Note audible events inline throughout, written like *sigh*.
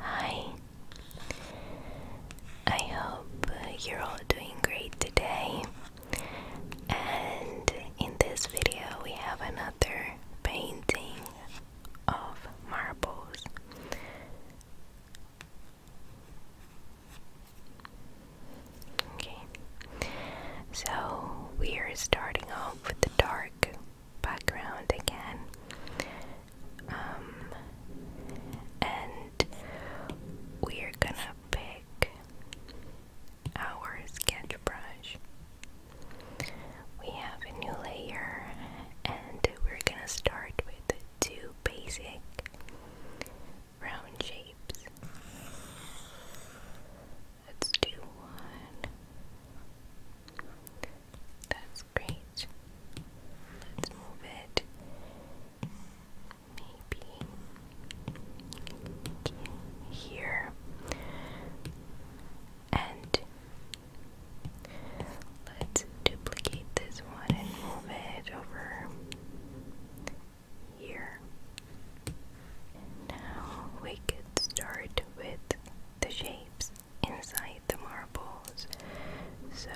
Hi, I hope you're all doing great today. And in this video, we have another painting of marbles. Okay, so we are starting off with the dark background again. Um, and we're gonna pick our sketch brush. We have a new layer, and we're gonna start with two basic round shapes. Let's one. That's Great. Let's move it. Maybe here. And let's duplicate this one and move it over here. Now we could start with the shapes inside the marbles. So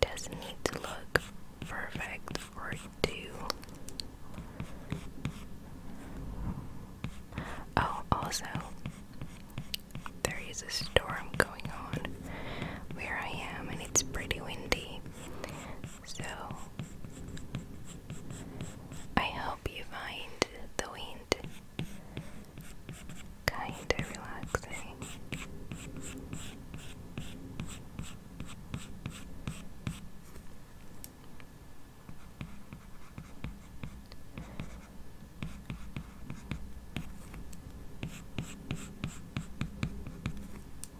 doesn't need to look perfect or do. Oh, also, there is a storm going on where I am, and it's pretty windy. So, I hope you find the wind kinda relaxing.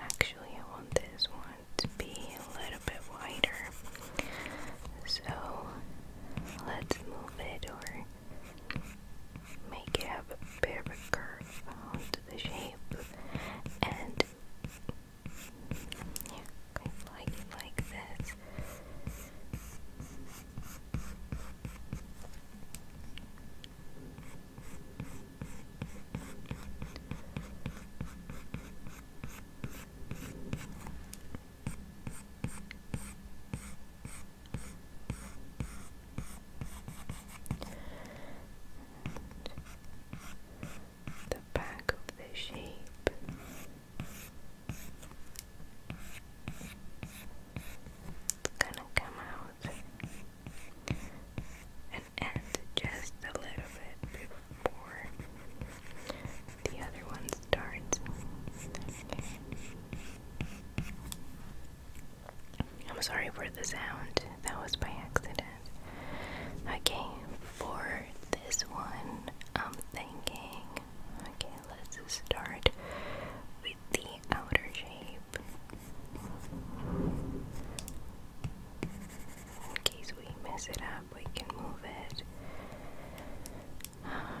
Actually, I want this one to be a little bit wider. So let's move it or make it have a bit of a curve onto the shape. And yeah, like, like this. And the back of the shape. It's gonna come out and end just a little bit before the other one starts. I'm sorry for the sound, that was by accident. Okay, for this one, I'm thinking, okay, let's start with the outer shape. In case we mess it up, we can move it. Um,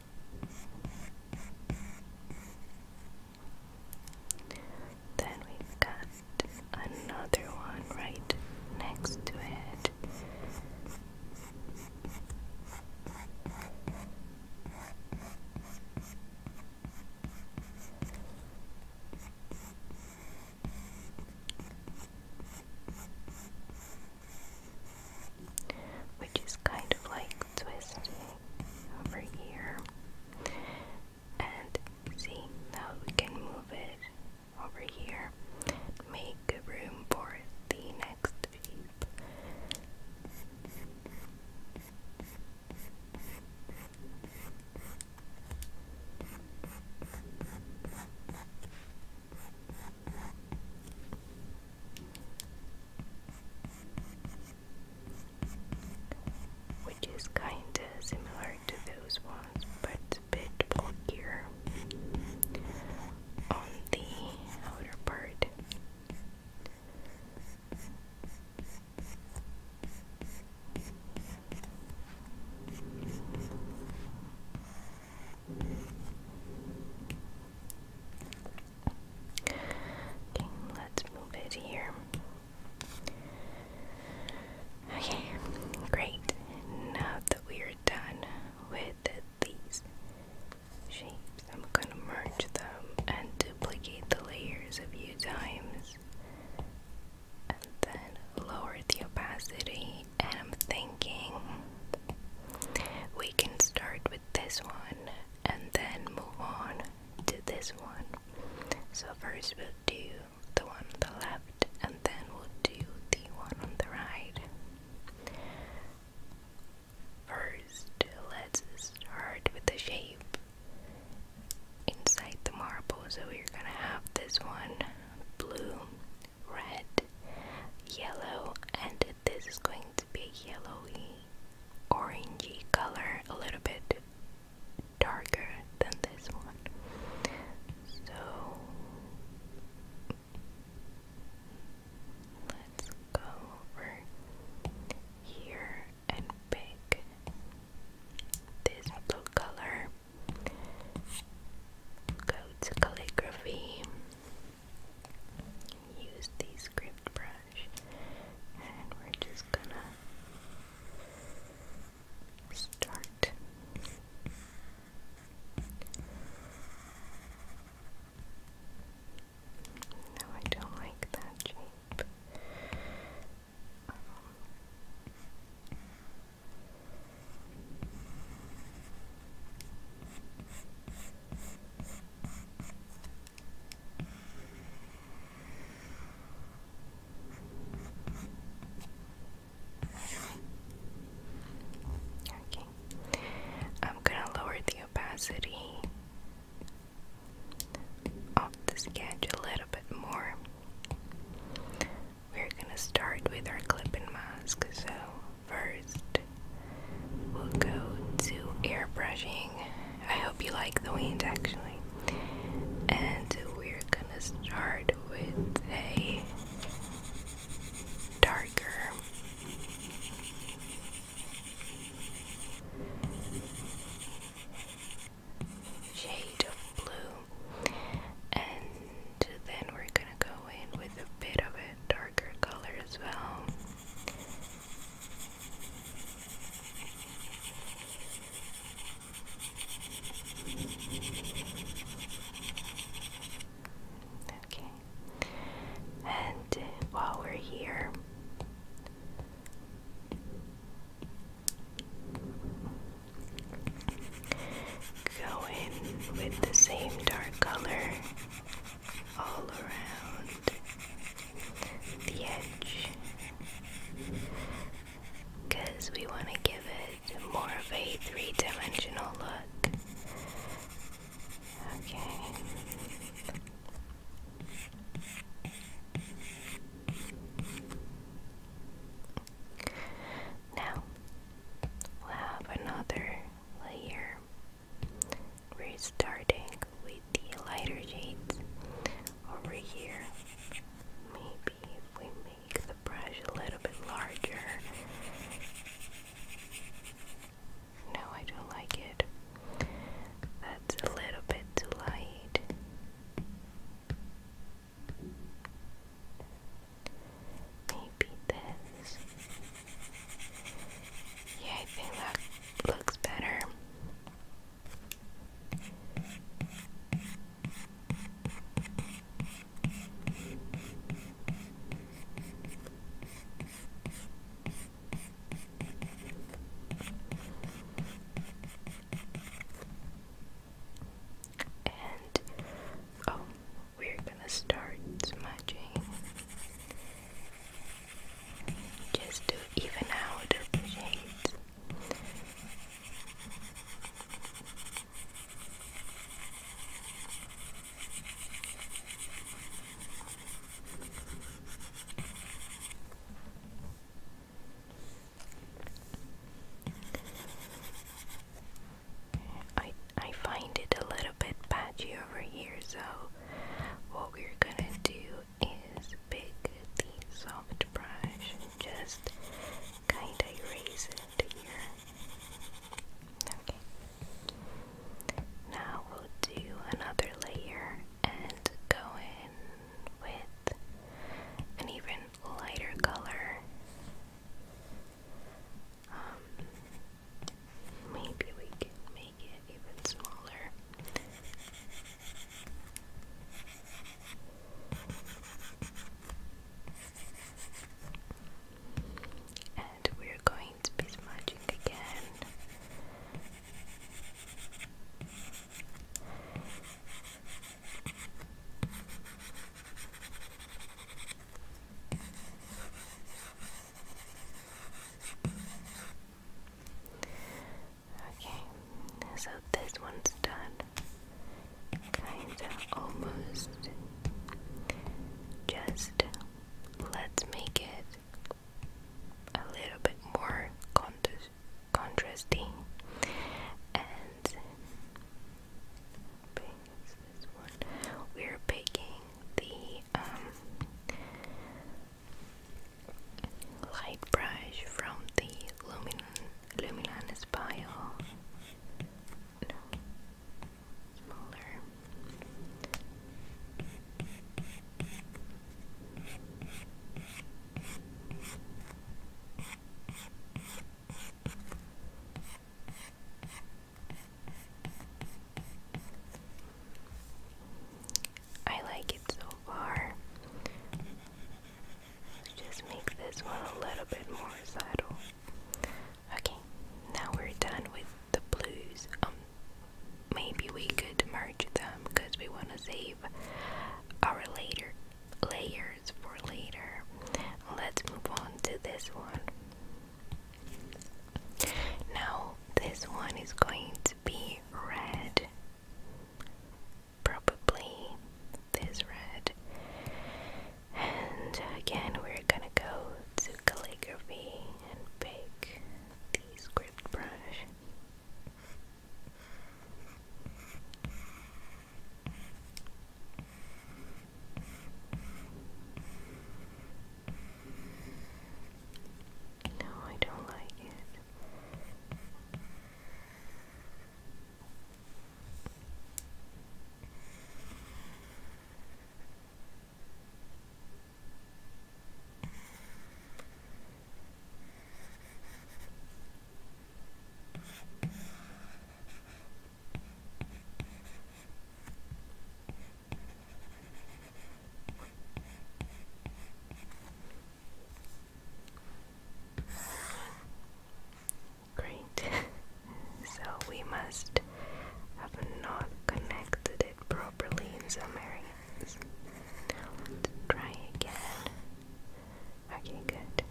Then we've got another one right next to it which is kind of like twisting over here. And see, now we can move it over here, make room for the next shape which is kinda similar to those ones but a bit bulkier on the outer part. Okay, let's move it here. Okay, great. Now that we are done with these shapes, I'm gonna merge them and duplicate the layers a few times. And then lower the opacity, and I'm thinking we can start with this one and then move on to this one. So first we'll do the one on the left and then we'll do the one on the right. First, let's start with the shape inside the marble. So we're gonna have this one blue, red, yellow, and this is going to be yellowy orangey color a little bit darker than this one so let's go over here and pick this blue color go to calligraphy use the script brush and we're just gonna start no I don't like that shape um, Okay. I'm going to lower the opacity of the sketch a little bit more. We're going to start with our clipping mask. So, first, we'll go to airbrushing. I hope you like the wind, actually. And we're gonna start with a darker shade of blue, and then we're gonna go in with a bit of a darker color as well. Okay. And uh, while we're here, go in with the same dark color all around the edge because we want to give it more of a three dimensional look. Okay. Now we'll have another layer we're starting with the lighter shades over here. Maybe if we make the brush a little bit larger. No, I don't like it. That's a little bit too light. Maybe this. Yeah, I think that looks better. And oh, we're gonna start smudging just to even out the shades. I I find it a little bit patchy over here, so what we're gonna do is pick the soft brush just kinda erase it here. Okay. Now we'll do another layer and go in with an even lighter color. Um, maybe we can make even smaller. And we're going to be smudging again. Okay, so this one's done. Kinda almost. Just let's make it a little bit more contrast contrasting and We're picking the um, Light brush from the Lumin Luminous Bio. Smaller. I like it so far. Just make this one a little bit more subtle. Okay, now we're done with the blues. Um, maybe we could merge them because we want to save our later layers for later. Let's move on to this one. Now, this one is going to be red. Probably this red. And again, we're gonna go to calligraphy and pick the script brush. No, I don't like it. Great. *laughs* so we must have not connected it properly in some areas. Now let's try again. Okay, good.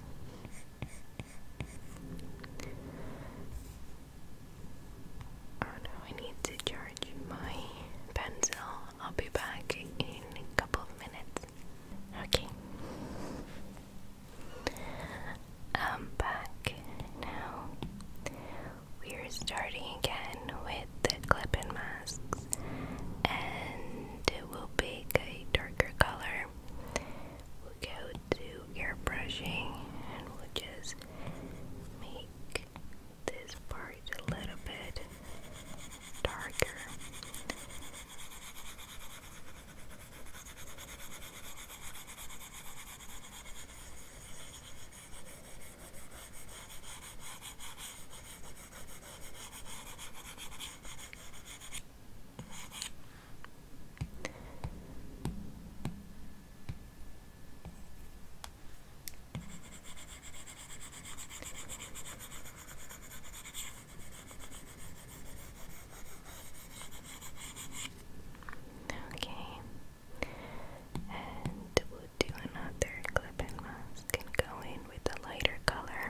Oh no, I need to charge my pencil I'll be back in a couple of minutes. Okay. I'm back now. We're starting again with the clip masks, and we'll pick a darker color. We'll go to airbrushing and we'll just make this part a little bit darker. Okay, and we'll do another clip mask and go in with a lighter color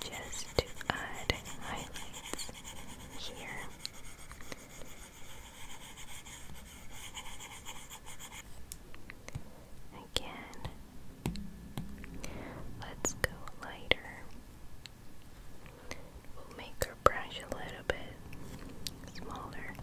just to add highlights here again. Let's go lighter. We'll make our brush a little bit smaller.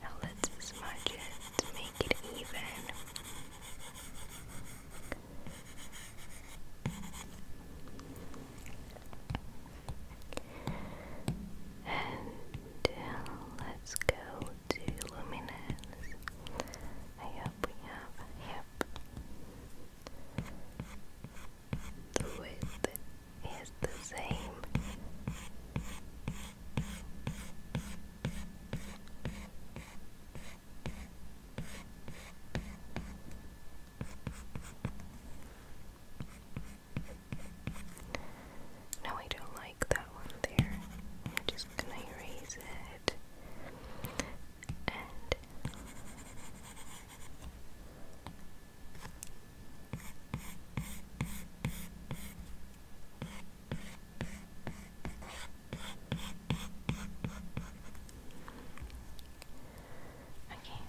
Now let's smudge it to make it even. And uh, let's go to luminance. I hope we have hip. The width is the same. No, I don't like that one there. I'm just gonna erase it. Okay.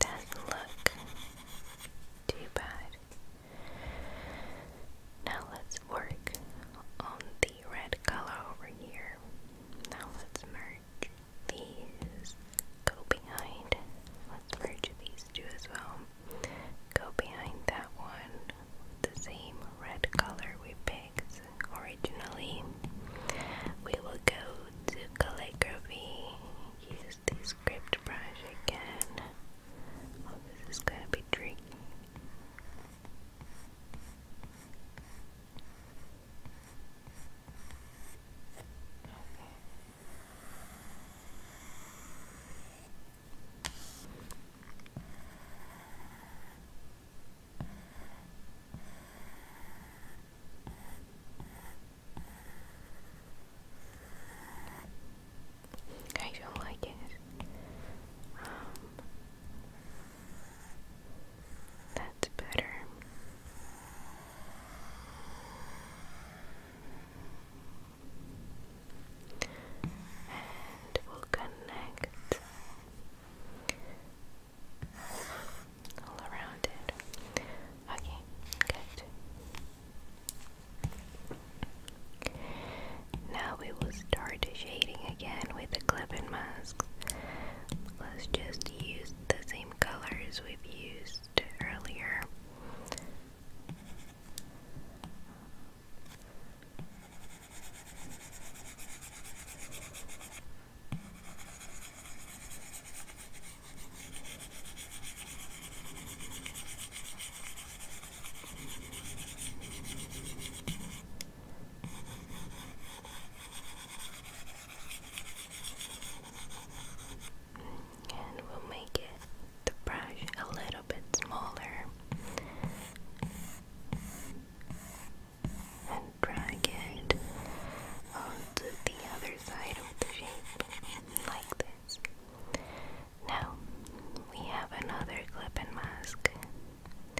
does look too bad. Now let's work on the red color over here. Now let's merge these. Go behind. Let's merge these two as well. Go behind that one the same red color we picked originally. We will go to calligraphy. Use the script brush again. Oh, this is gonna be tricky. I don't like it. Um, that's better and we'll connect all around it. Okay, good. Now we will start shading again with the clip and Let's just use the same colors we've used earlier. And we'll make the brush a little bit smaller and drag it onto the other side of the shape, like this. Now, we have another clip and mask.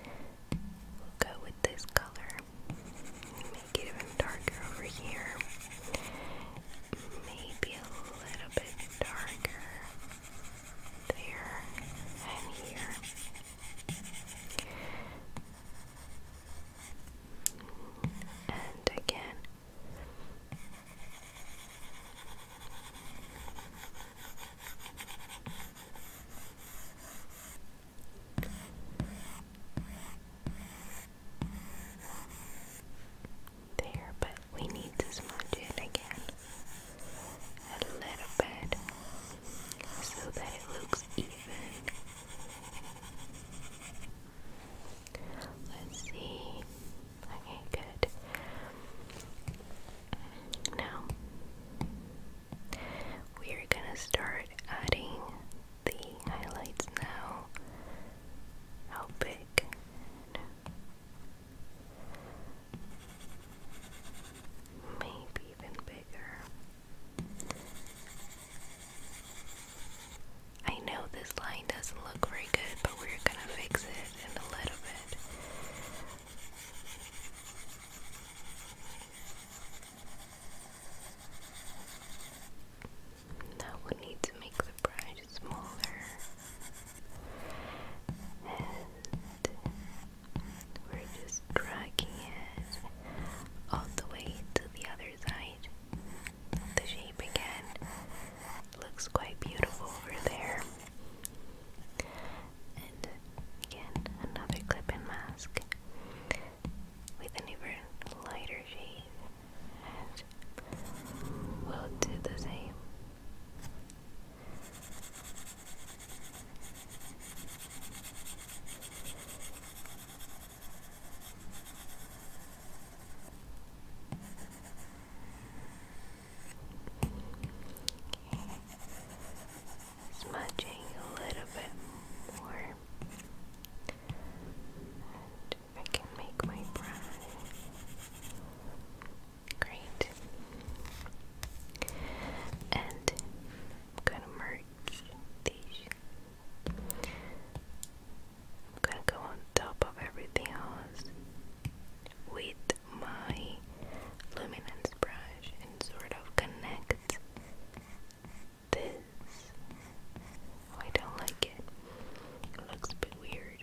We'll go with this color, make it even darker over here, maybe a little bit darker there, and here. And again. There, but we need to smudge it again a little bit so that it looks even. Let's see. Okay, good. Now we are gonna start adding the highlights now. How big? Maybe even bigger. I know this line doesn't look very good, but we're gonna fix it in a little bit. Now we need to make the brush smaller we're just dragging it all the way to the other side. The shape again looks quite beautiful over there. And again, another clip mask with an even lighter shade. we'll do the same. Smudging a little bit more, and I can make my brush Great. And I'm going to merge these. I'm going to go on top of everything else with my luminance brush and sort of connect this. Oh, I don't like it. It looks a bit weird.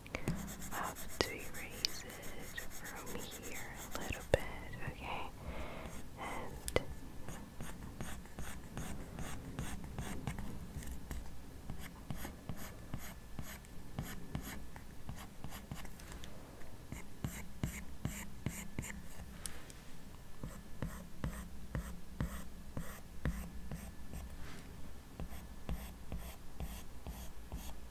up to erase it from here a little bit, Okay.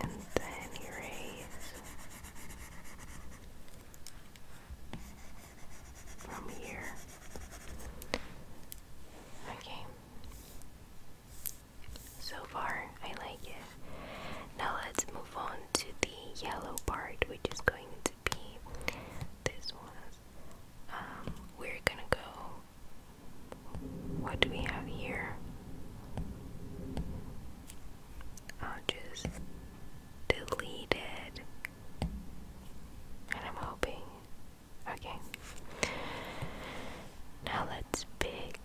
And then erase from here. Okay. So far, I like it. Now let's move on to the yellow part, which is going to be this one. Um, we're gonna go. What do we have here? I'll just delete it. And I'm hoping. Okay. Now let's pick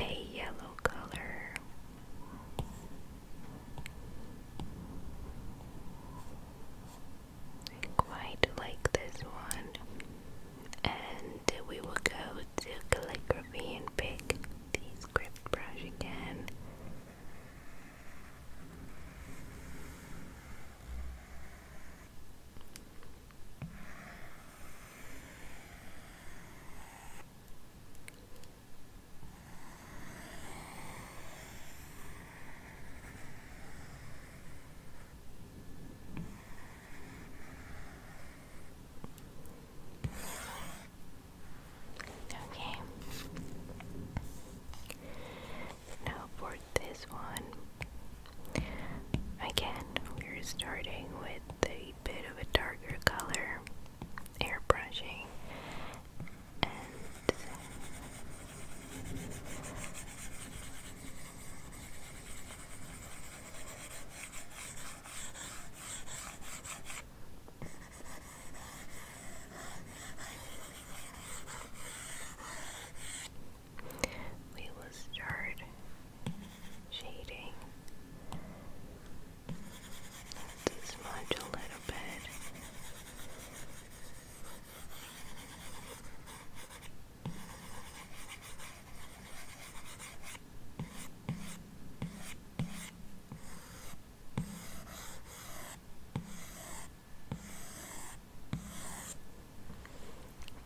a yellow color. quite like this one. And we will go to calligraphy and pick the script brush again. Okay. Now for this one, Again, we're starting with a bit of a darker color, airbrushing, and we will start shading. smudge a little bit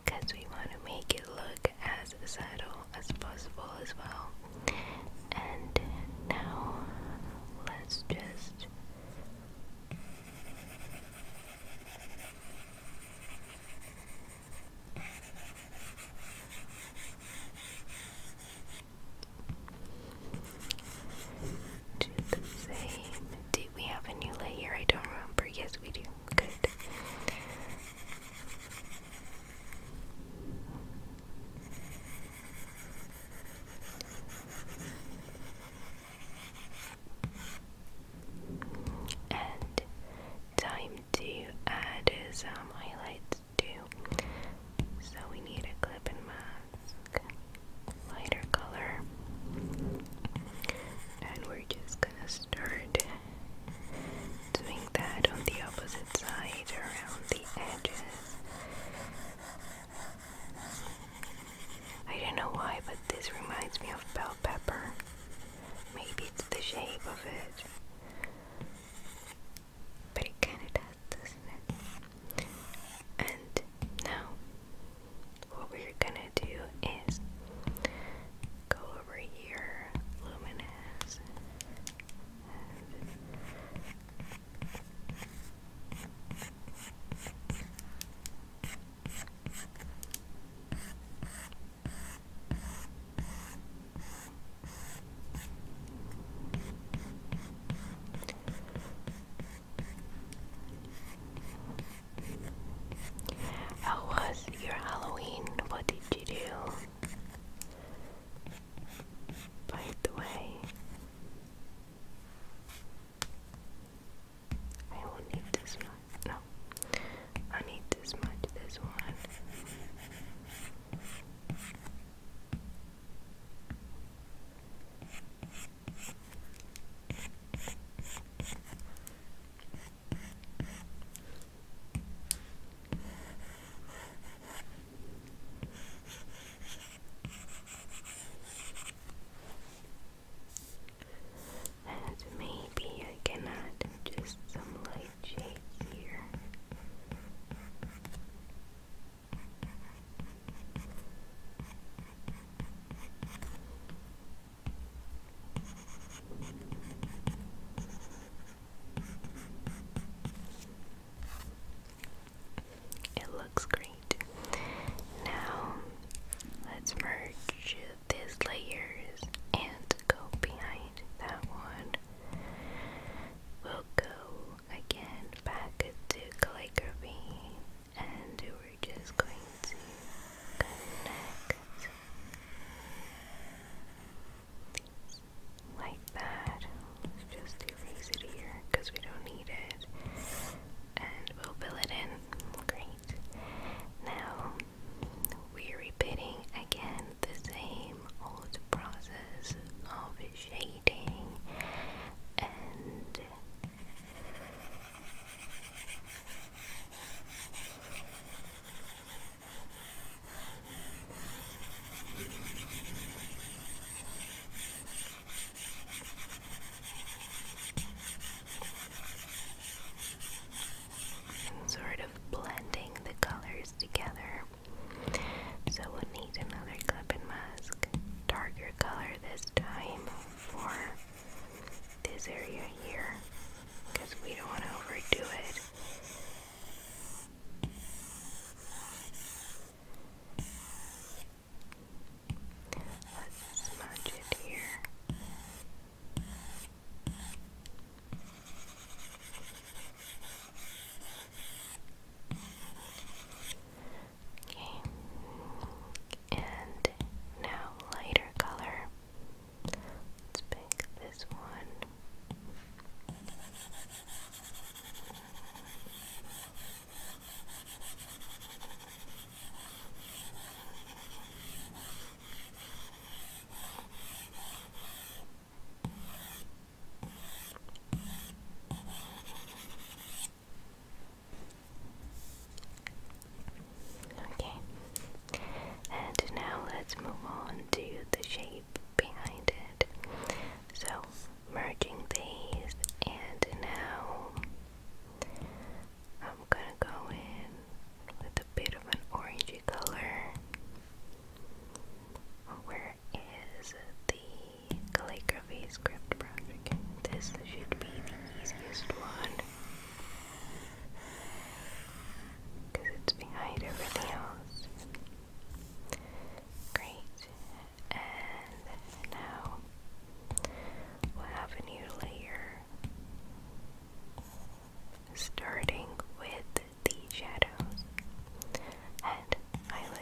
because we want to make it look as subtle as possible as well. And now let's just do the same. Did we have a new layer? I don't remember. Yes, we do. Good. And time to add some highlights too. So we need a clip and mask, lighter color, and we're just gonna start Doing that on the opposite side around the edges. I don't know why, but this reminds me of bell pepper. Maybe it's the shape of it. But it kinda does, doesn't it? And now, what we're gonna do is go over How was your Halloween? What did you do? By the way, I will need this much. No, I need this much. This one. And maybe I can add just some light shade here. It looks great. Now, let's merge these layers and go behind that one. We'll go again back to calligraphy and we're just going to connect like that. just erase it here because we don't need it. And we'll fill it in. Great. Now we're repeating again the same old process of shading and Sort of blending the colors together. So we'll need another clip and mask, darker color this time for this area here because we don't want to overdo it Let's smudge it here. Okay, and now lighter color. Let's pick this one. Okay, and now let's move on to the shape behind it. So, merging these, and now I'm gonna go in with a bit of an orangey color. Where is the calligraphy script project? This should be the easiest one because it's behind everything else. Great. And now we'll have a new layer starting with the shadows and highlights.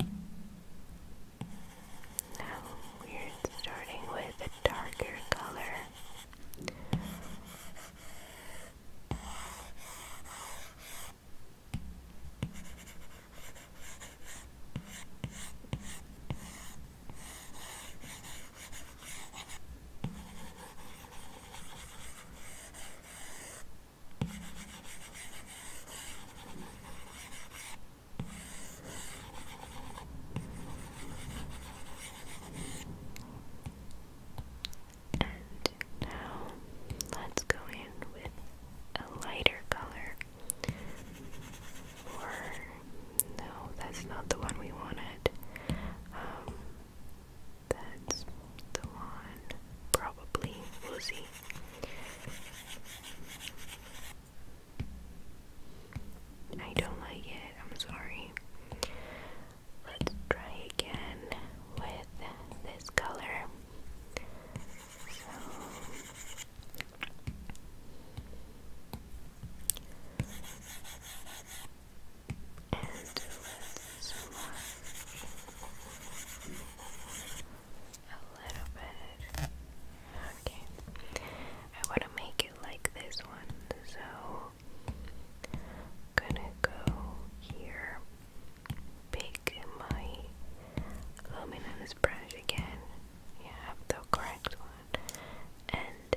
Now we're starting with a darker color. And now let's go in with a lighter color. Or, no, that's not the one we wanted. Um, that's the one, probably. We'll see. I don't like it. I'm sorry. Let's try again with this color. So a little bit. Okay, I want to make it like this one, so gonna go here, pick my luminance brush again. Yeah, have the correct one, and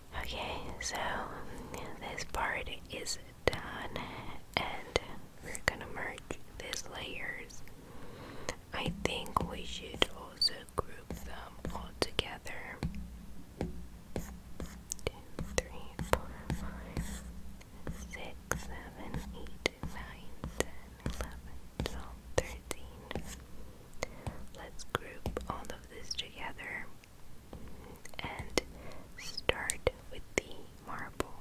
Okay, so this part is done, and we're gonna merge these layers. I think we should also group them all together. Two, three, four, five, six, seven, eight, nine, ten, eleven, twelve, thirteen. Let's group all of this together and start with the marble.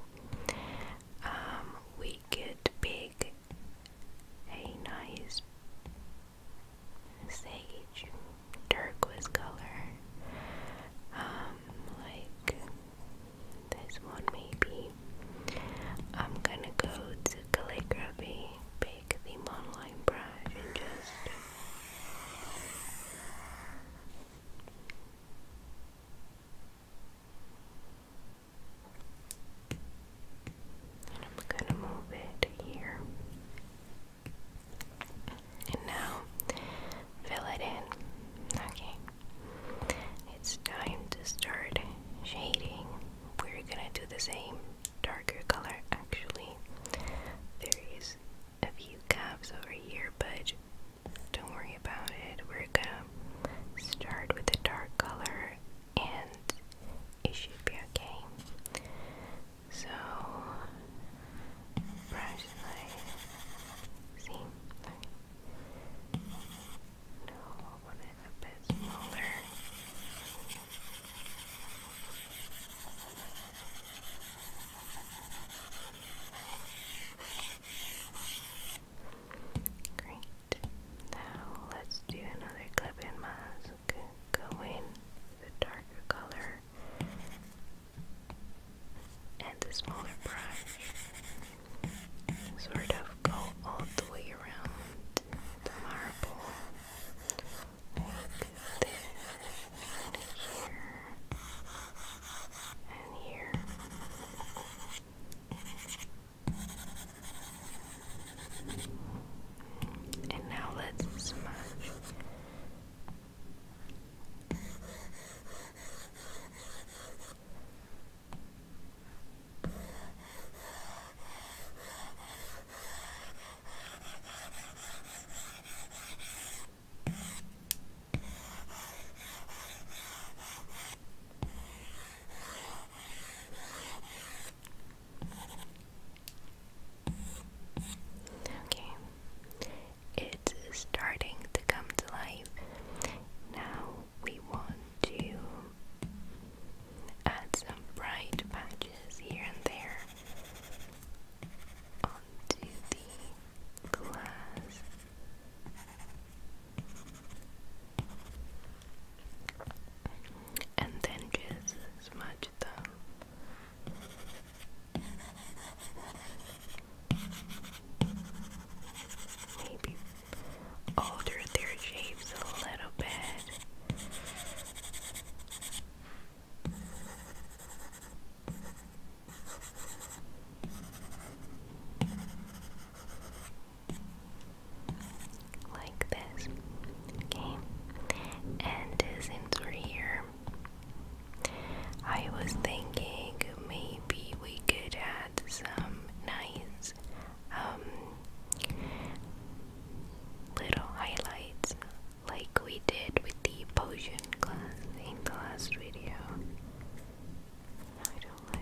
Um, we could pick a nice sage turquoise color, um, like this one maybe. I'm gonna go to calligraphy, pick the monoline brush and just I'm going to move it here. And now fill it in. Okay. It's time to start shading. We're going to do the same darker color actually. There is a few gaps over here, but don't worry about it. We're gonna start with a dark color and it should be okay. So, brush my. See? No, I it a bit smaller. Great. Now let's do another clip mask. Go the darker color and the smaller brush. Sort of go all the way around the marble like this here, and here. And now let's smash. Okay, it's starting to come to life. Now we want to add some bright patches here and there onto the glass. And then just smudge them. Maybe alter their shapes a little bit. Like this. Okay. And since we're here, I was thinking maybe we could add some nice um, little highlights like we did with the potion class in the last video. I don't like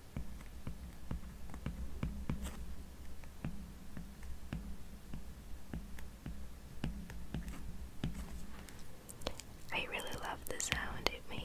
I really love the sound it makes.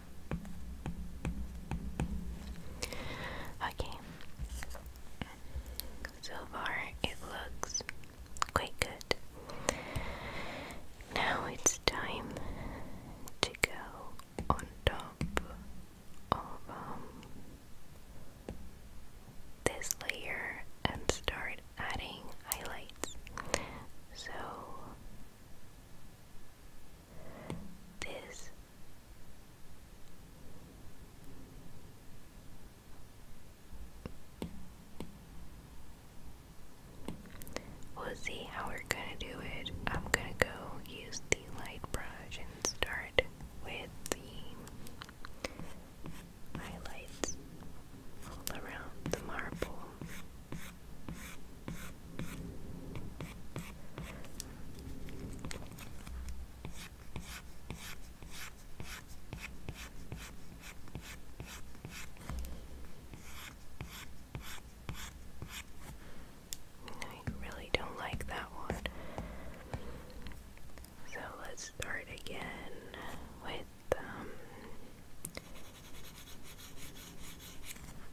Okay, so far it looks quite good. Now it's time to go on top of um, this layer and start adding highlights. So this We'll see how we're gonna do it. I'm gonna go use the light brush and start with the highlights all around the marble. I really don't like that one. So let's start again with um,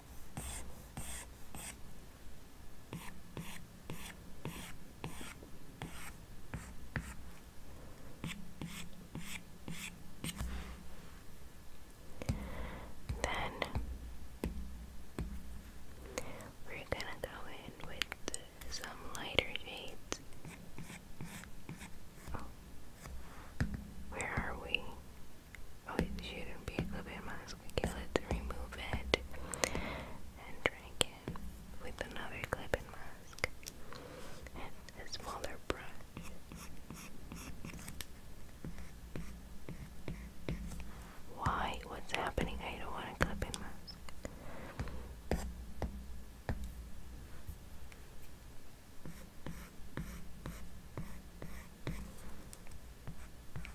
Then we're gonna go in with some lighter shades. Oh, where are we? Oh, it shouldn't be a let's remove it and drag it with another clip mask and a brush. Why? What's happening? I don't want a clip mask.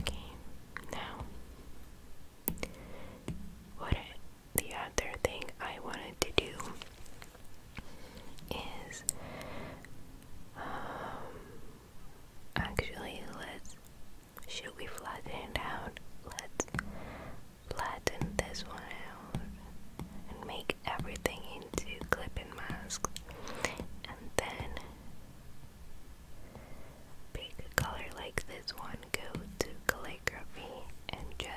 Okay, now what the other thing I wanted to do is um actually let's should we flatten out? Let's flatten this one out and make everything into clipping and masks and then pick color like this one, go to calligraphy and just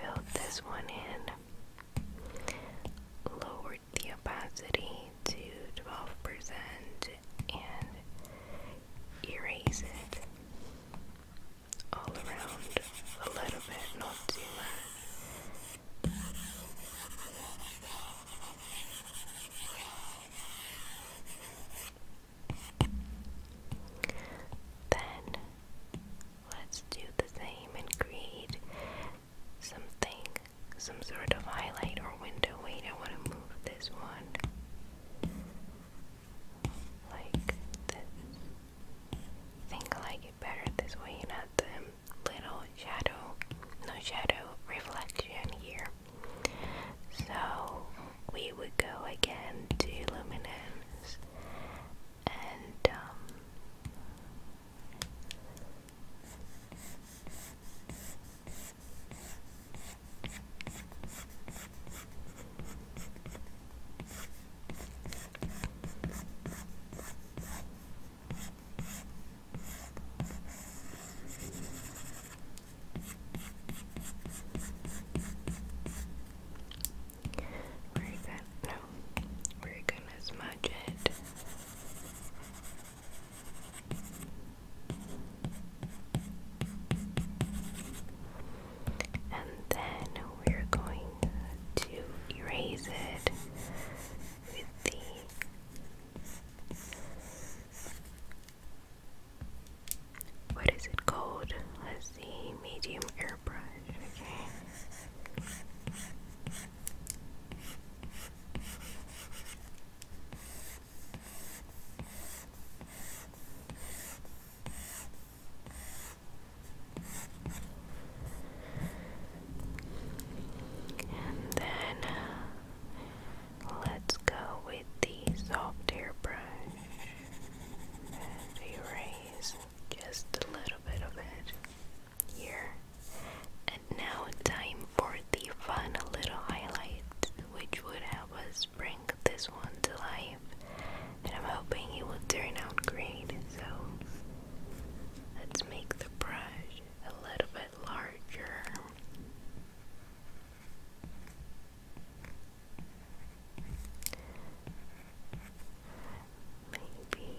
Fill this one in, lower the opacity to 12% and erase it all around a little bit, not too much. Then let's do the same and create something, some sort of highlight or window. Wait, I want to move this one like this. think I like it better this way, not the little shadow, no shadow reflection here. So we would go again to luminance and um, where is that? No, we're gonna smudge it. And then we're going to erase it with the what is it called? Let's see, medium airbrush. And then uh, let's go with the soft airbrush and erase just a little bit of it year. And now, time for the fun little highlight, which would help us bring this one to life. And I'm hoping it will turn out great. So, let's make the brush a little bit larger. Maybe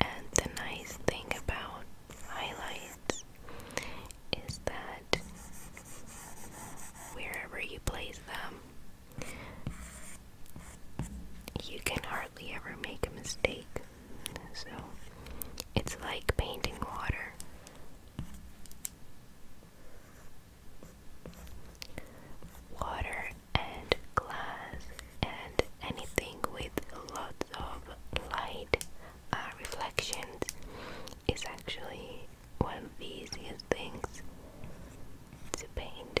And the nice thing about highlights is that wherever you place them, you can hardly ever make a mistake. So it's like painting water water and glass and anything with lots of light uh, reflections is actually one of the easiest things to paint.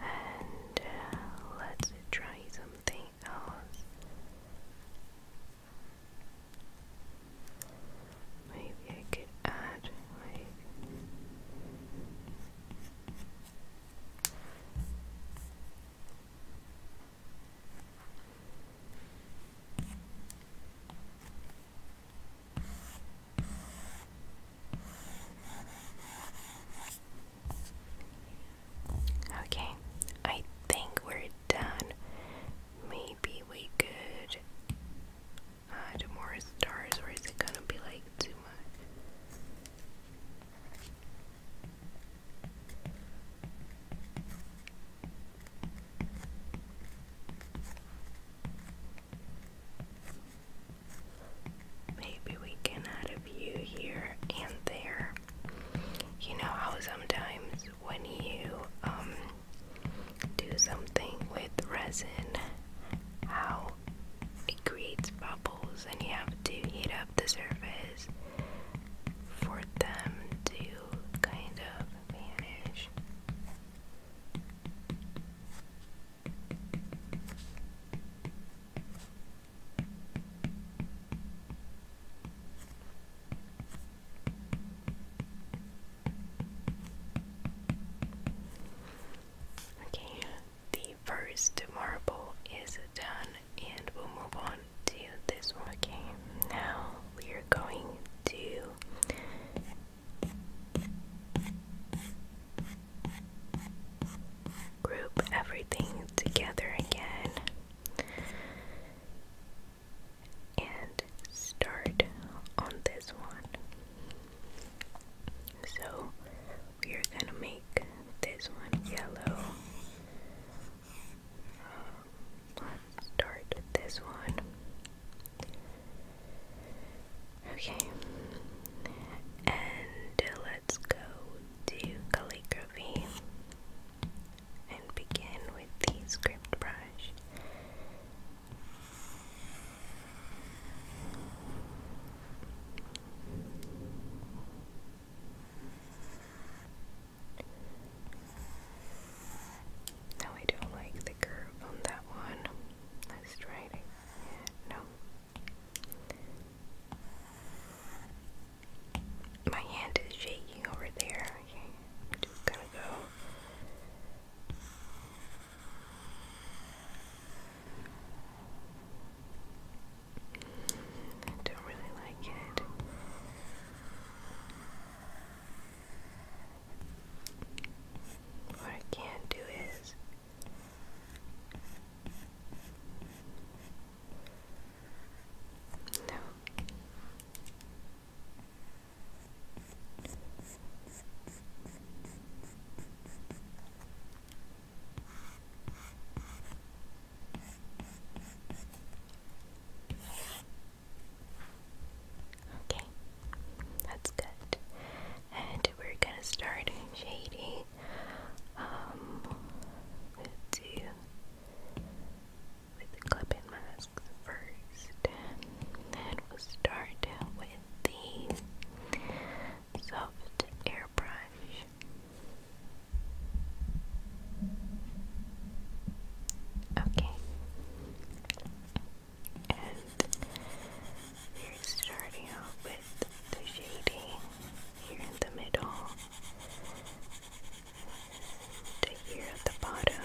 And uh, let's try something else. Maybe I could add like Okay, I think we're done. Maybe we could add more stars, or is it gonna be like too much? Maybe we can add a view here and there. You know how sometimes when you um, do something with resin, how it creates bubbles and you have to heat up the surface for them to kind of vanish. Okay, the first marble is done, and we'll move on do this one. Okay, now we are going to group everything together again and start on this one. So we are gonna make this one yellow. Let's start with this one. Okay, and let's go to calligraphy and begin with the script brush. No, I don't like the curve on that one. Let's try it. No. My hand is shaking over there. just gonna go. I don't really like it. What I can't do is no. Okay, that's good. And we're gonna start shading um, with, the, with the clip first. Then we'll start with the soft airbrush. Okay. And we're starting out with the shading here in the middle, to here at the bottom.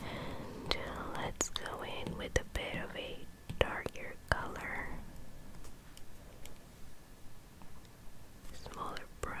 Uh, let's go in with a bit of a darker color. Smaller brush.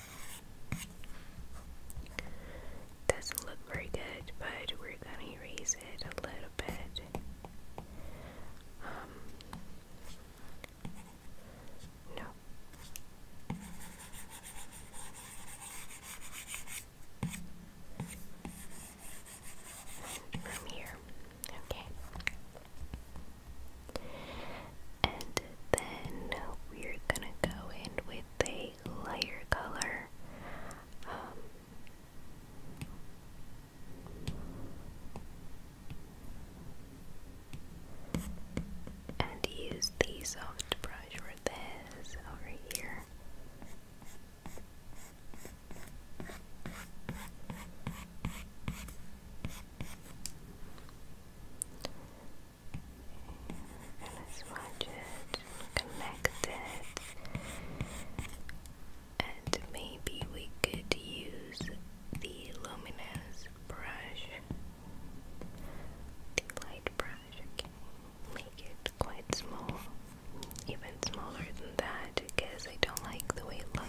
Doesn't look very good, but we're gonna erase it a little bit. Um, no. from here, okay. And then we're gonna go in with a lighter color. Um, and use the soft brush for this over here and it's budget connected and maybe we could use the luminous brush the light brush make it quite small even smaller than that because I don't like the way it looks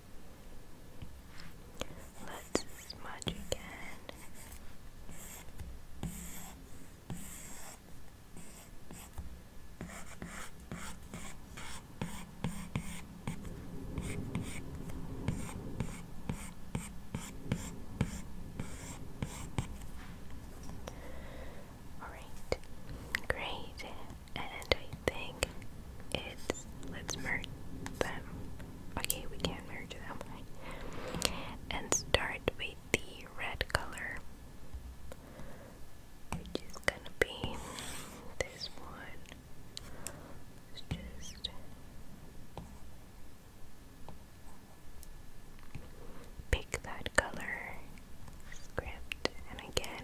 Let's smudge again. All right, great. And I think it's let's merge them. Okay, we can merge them. And start with the red color, which is gonna be this one. just pick that color script and again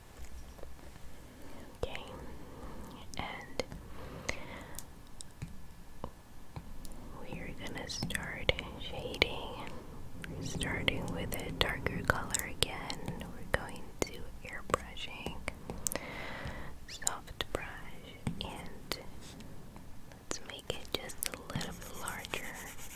Okay, and we're gonna start shading. starting with a darker color again. We're going to airbrushing, soft brush, and let's make it just a little bit larger.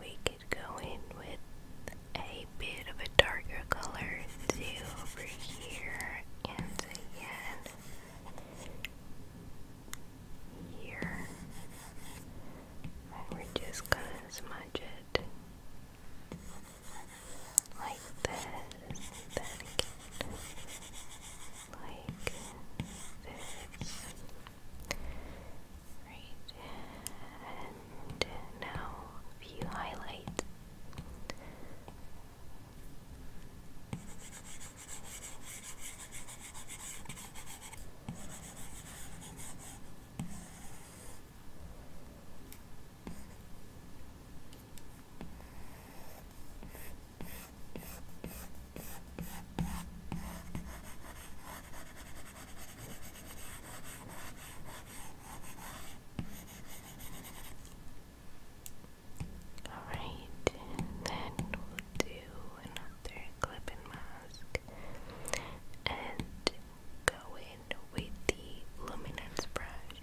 We could go in with a bit of a darker color too over here and again here. And we're just gonna smudge it like this, then again like this. Right, and now view highlight. Alright, and then we'll do another clip mask and go in with the luminance brush.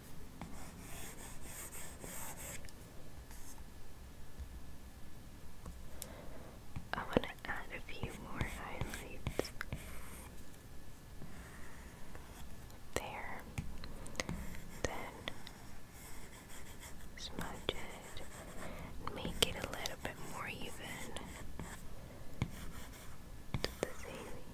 I want to add a few more highlights there, then smudge it make it a little bit more even the same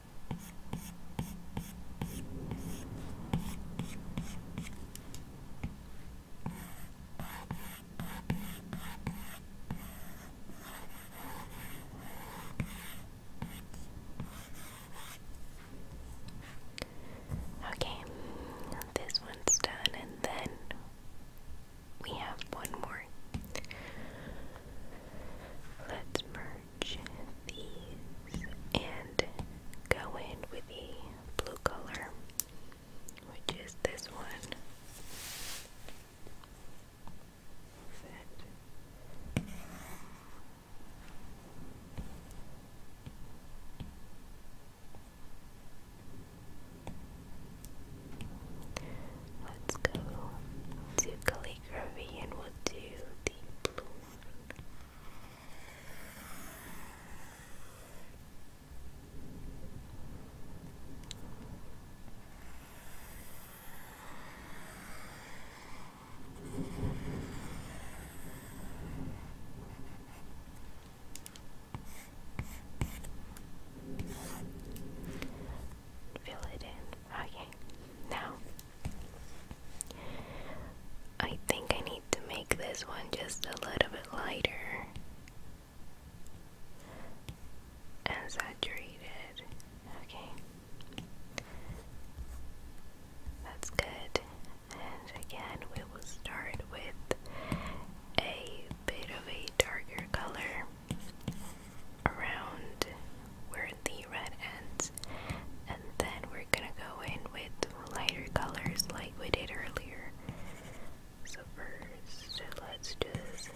Okay, this one's done, and then we have one more. Let's merge and go in with the blue color, which is this one. Let's go to calligraphy and we'll do the blue one. Fill it in. Okay. Now I think I need to make this one just a little bit lighter and saturated. Okay. That's good. And again, we will start with a bit of a darker color around were the red ends and then we're gonna go in with lighter colors like we did earlier so first let's do this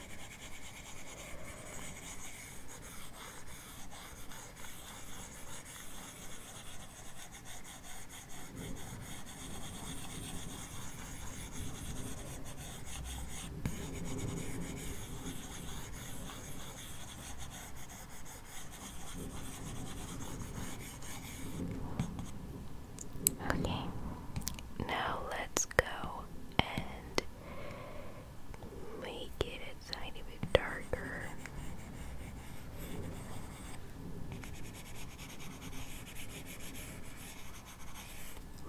Okay, now let's go and make it a tiny bit darker.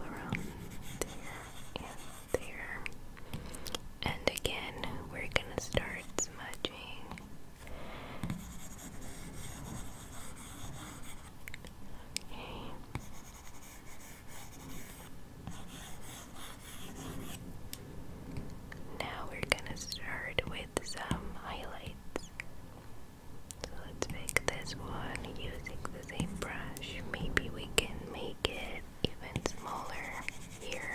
Around there and there. And again, we're gonna start smudging. Okay. Now we're gonna start with some highlights. So let's make this one using the same brush. Maybe we can make it even smaller here.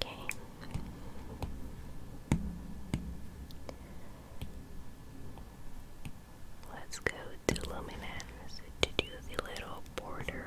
Okay. Let's go to Luminance to do the little border.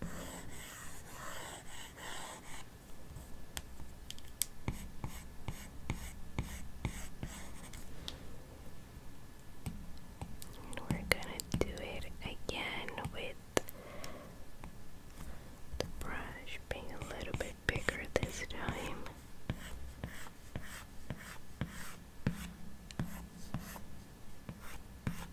And we're gonna do it again with the brush being a little bit bigger this time.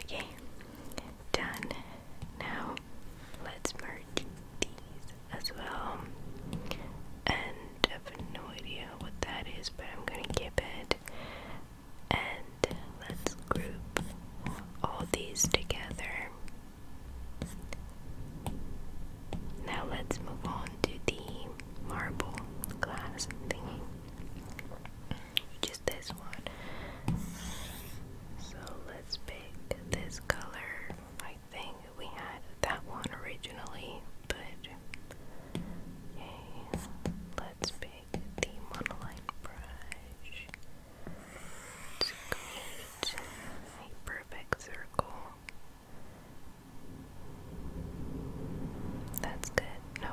Okay, done. Now let's merge these as well. And I have no idea what that is, but I'm gonna keep it. And let's group all these together. Now let's move on to the marble glass thingy. Just this one. So let's pick this color. I think we had that one originally, but okay, let's pick the monoline brush. create a perfect circle. That's good. No,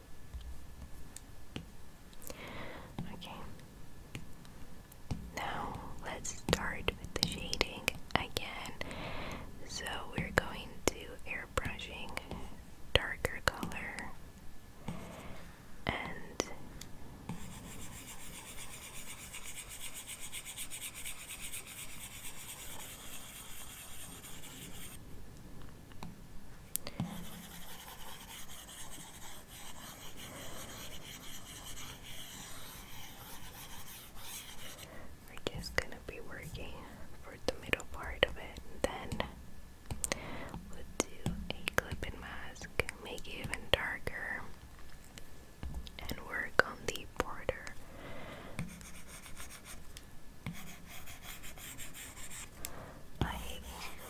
Okay. Now let's start with the shading again. So we're going to airbrushing darker color and we're just gonna be working for the middle part of it, then we'll do a clip mask, make it even darker, and work on the border like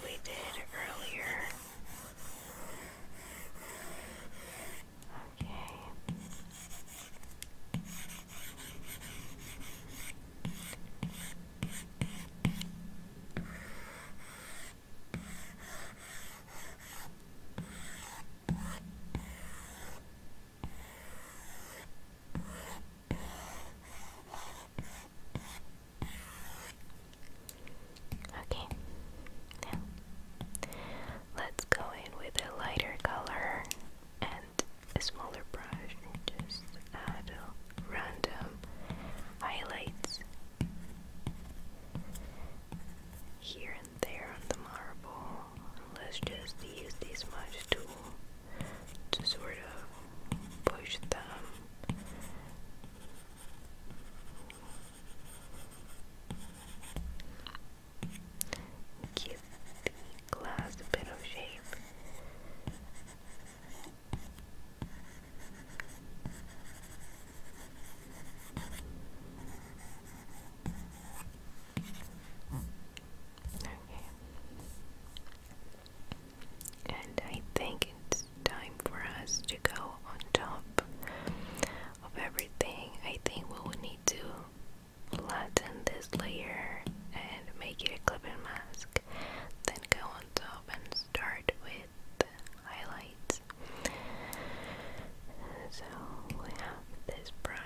we did earlier. Okay. Okay, let's go in with a lighter color and a smaller brush just add random highlights here and there on the marble. Let's just use this much tool to sort of push them Give the glass a bit of shape. Okay. And I think it's time for us to go on top of everything. I think we will need to flatten this layer and make it a clipping mask. Then go on top and start with highlights. So we have this brush.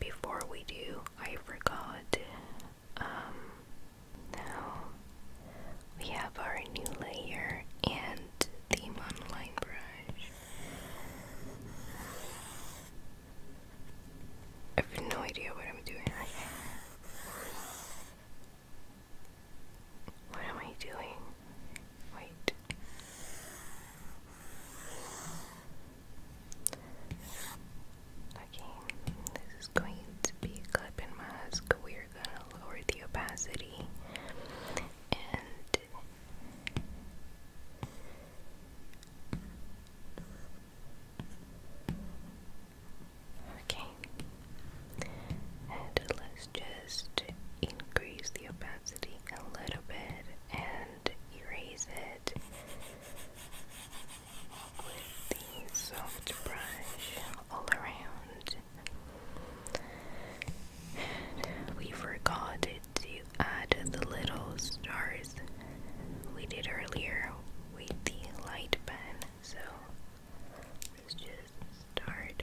Before we do, I forgot um, now we have our new layer and the monoline brush. I have no idea what I'm doing. What am I doing? Wait. Okay, this is going to be a clipping mask. We're gonna lower the opacity Okay, and let's just increase the opacity a little bit and erase it with the soft brush all around. we forgot to add the little stars we did earlier with the light pen, so let's just start.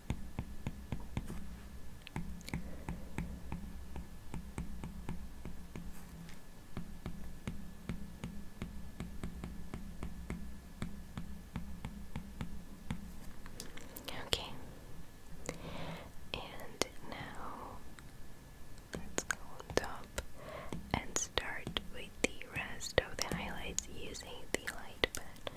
Okay. And now let's go on top and start with the rest of the highlights using the light pen.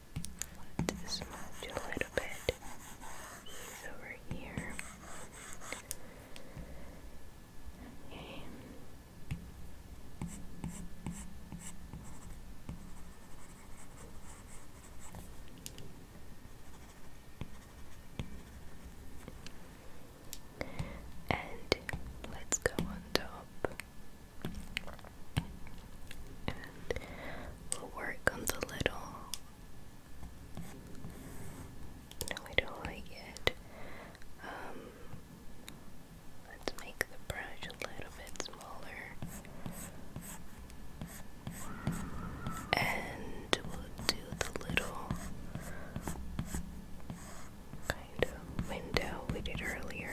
Let's smudge a little bit over here. And let's go on top. we'll work on the little no, I don't like it. Um, let's make the brush a little bit smaller. And we'll do the little kind of window we did earlier.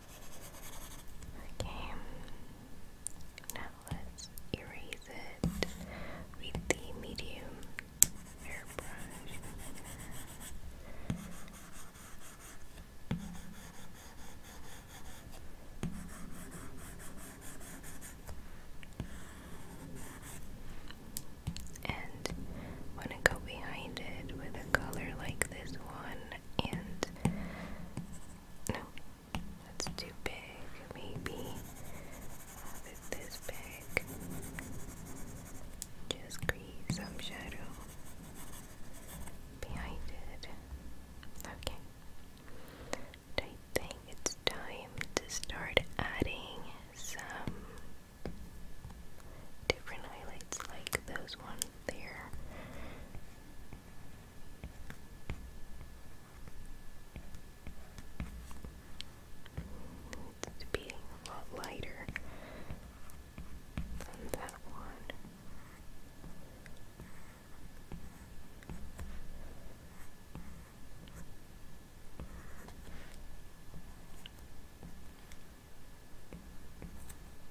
Okay. Now let's erase it with the medium airbrush. And want to go behind it with a color like this one and no, that's too big, maybe. Have it this big. Just create some shadow behind it. Okay. I think it's time to start adding some different highlights like those ones there. It's being a lot lighter than that one.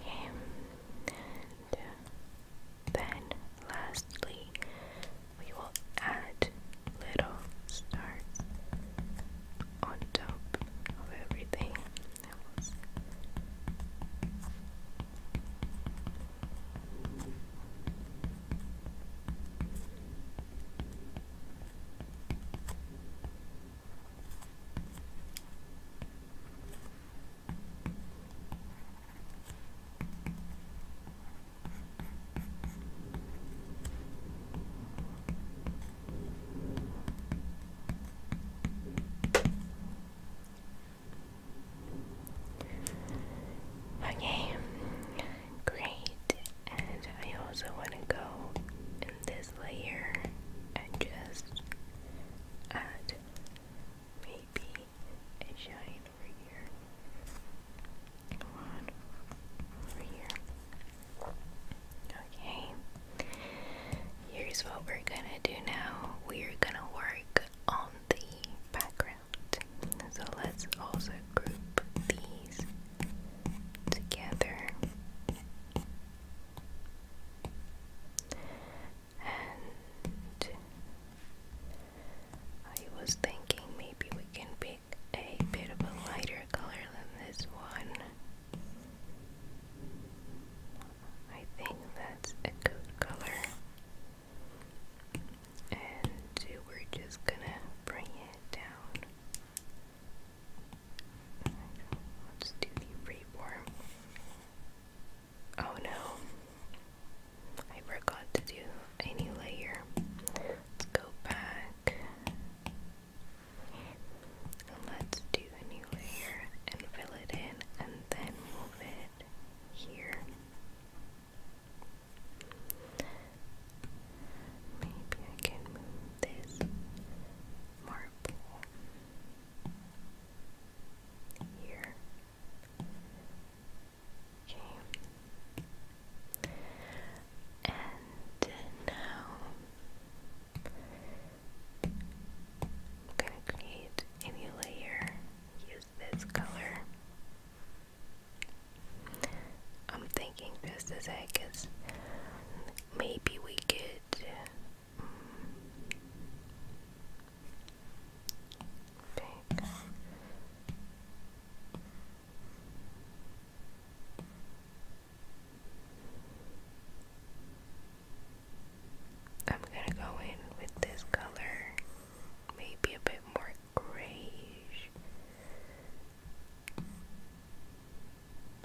Okay, and then lastly, we will add little stars on top of everything Okay, great. And I also want to go this layer and just add maybe a shine over here. One over here. Okay. Here's what we're gonna do now. We're gonna work on the background. So let's also group these together. And I was thinking maybe we can pick a bit of a lighter color than this one. I think that's a good color. And we're just gonna bring it down Let's do the rework. Oh no, I forgot to do a new layer. Let's go back. And let's do a new layer and fill it in and then move it here. Maybe I can move this marble here. Okay. And now I'm gonna create a new layer, use this color. I'm thinking just as I guess maybe we could um, I'm gonna go in with this color, maybe a bit more grayish.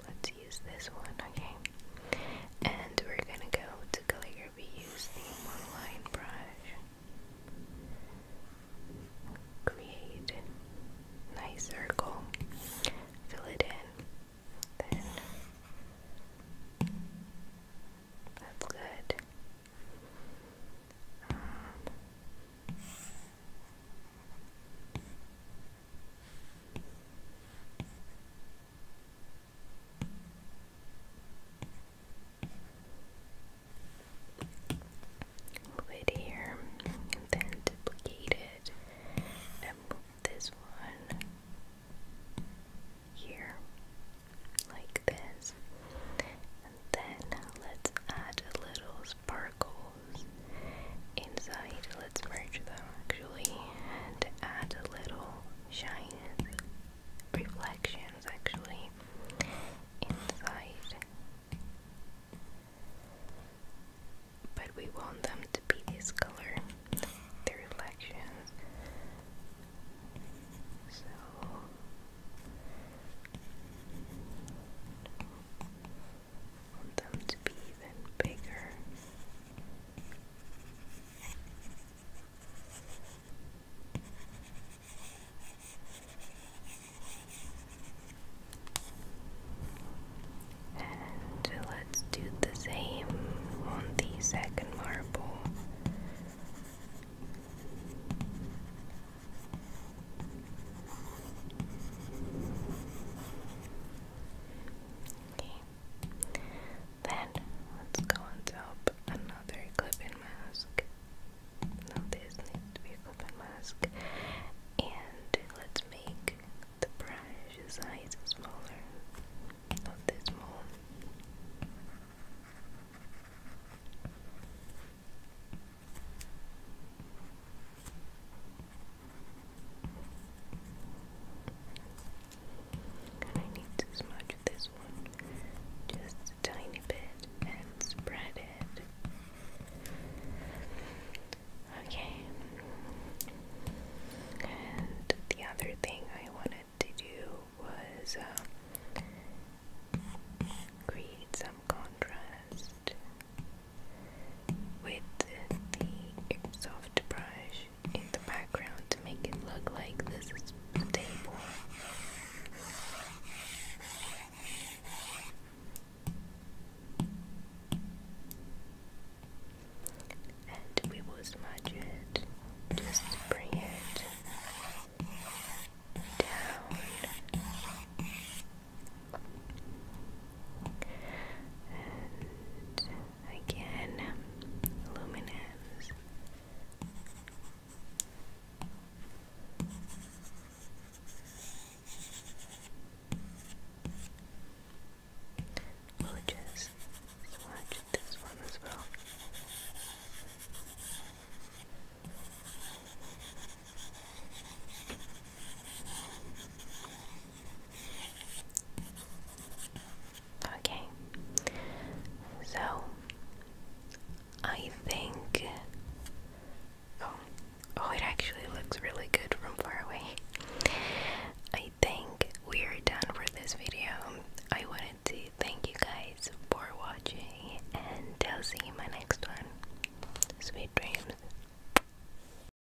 Let's use this one, okay? And we're gonna go to calligraphy, use the monoline brush. Create a nice circle, fill it in, that's good. Um, Move it here, and then duplicate it, and move this one here, like this. And then let's add a little sparkles inside. Let's merge them actually and add a little shine reflections actually inside. But we want them to be this color, the reflections. So want them to be even bigger. And let's do the same on the second marble. Okay. Then let's go and top another clip mask. this needs mask. And let's make the brush size smaller. Not this small. And I need to smudge this one just tiny bit and spread it. Okay. And the other thing I wanted to do was um, create some contrast with the soft brush in the background to make it look like this is the table. And we will smudge it, just bring it down and again, luminance. we swatch this one as well. Okay, so I think. Oh, oh, it actually looks really good from far away. I think we are done for this video. I wanted to thank you guys for watching, and I'll see you in my next one. Sweet dreams.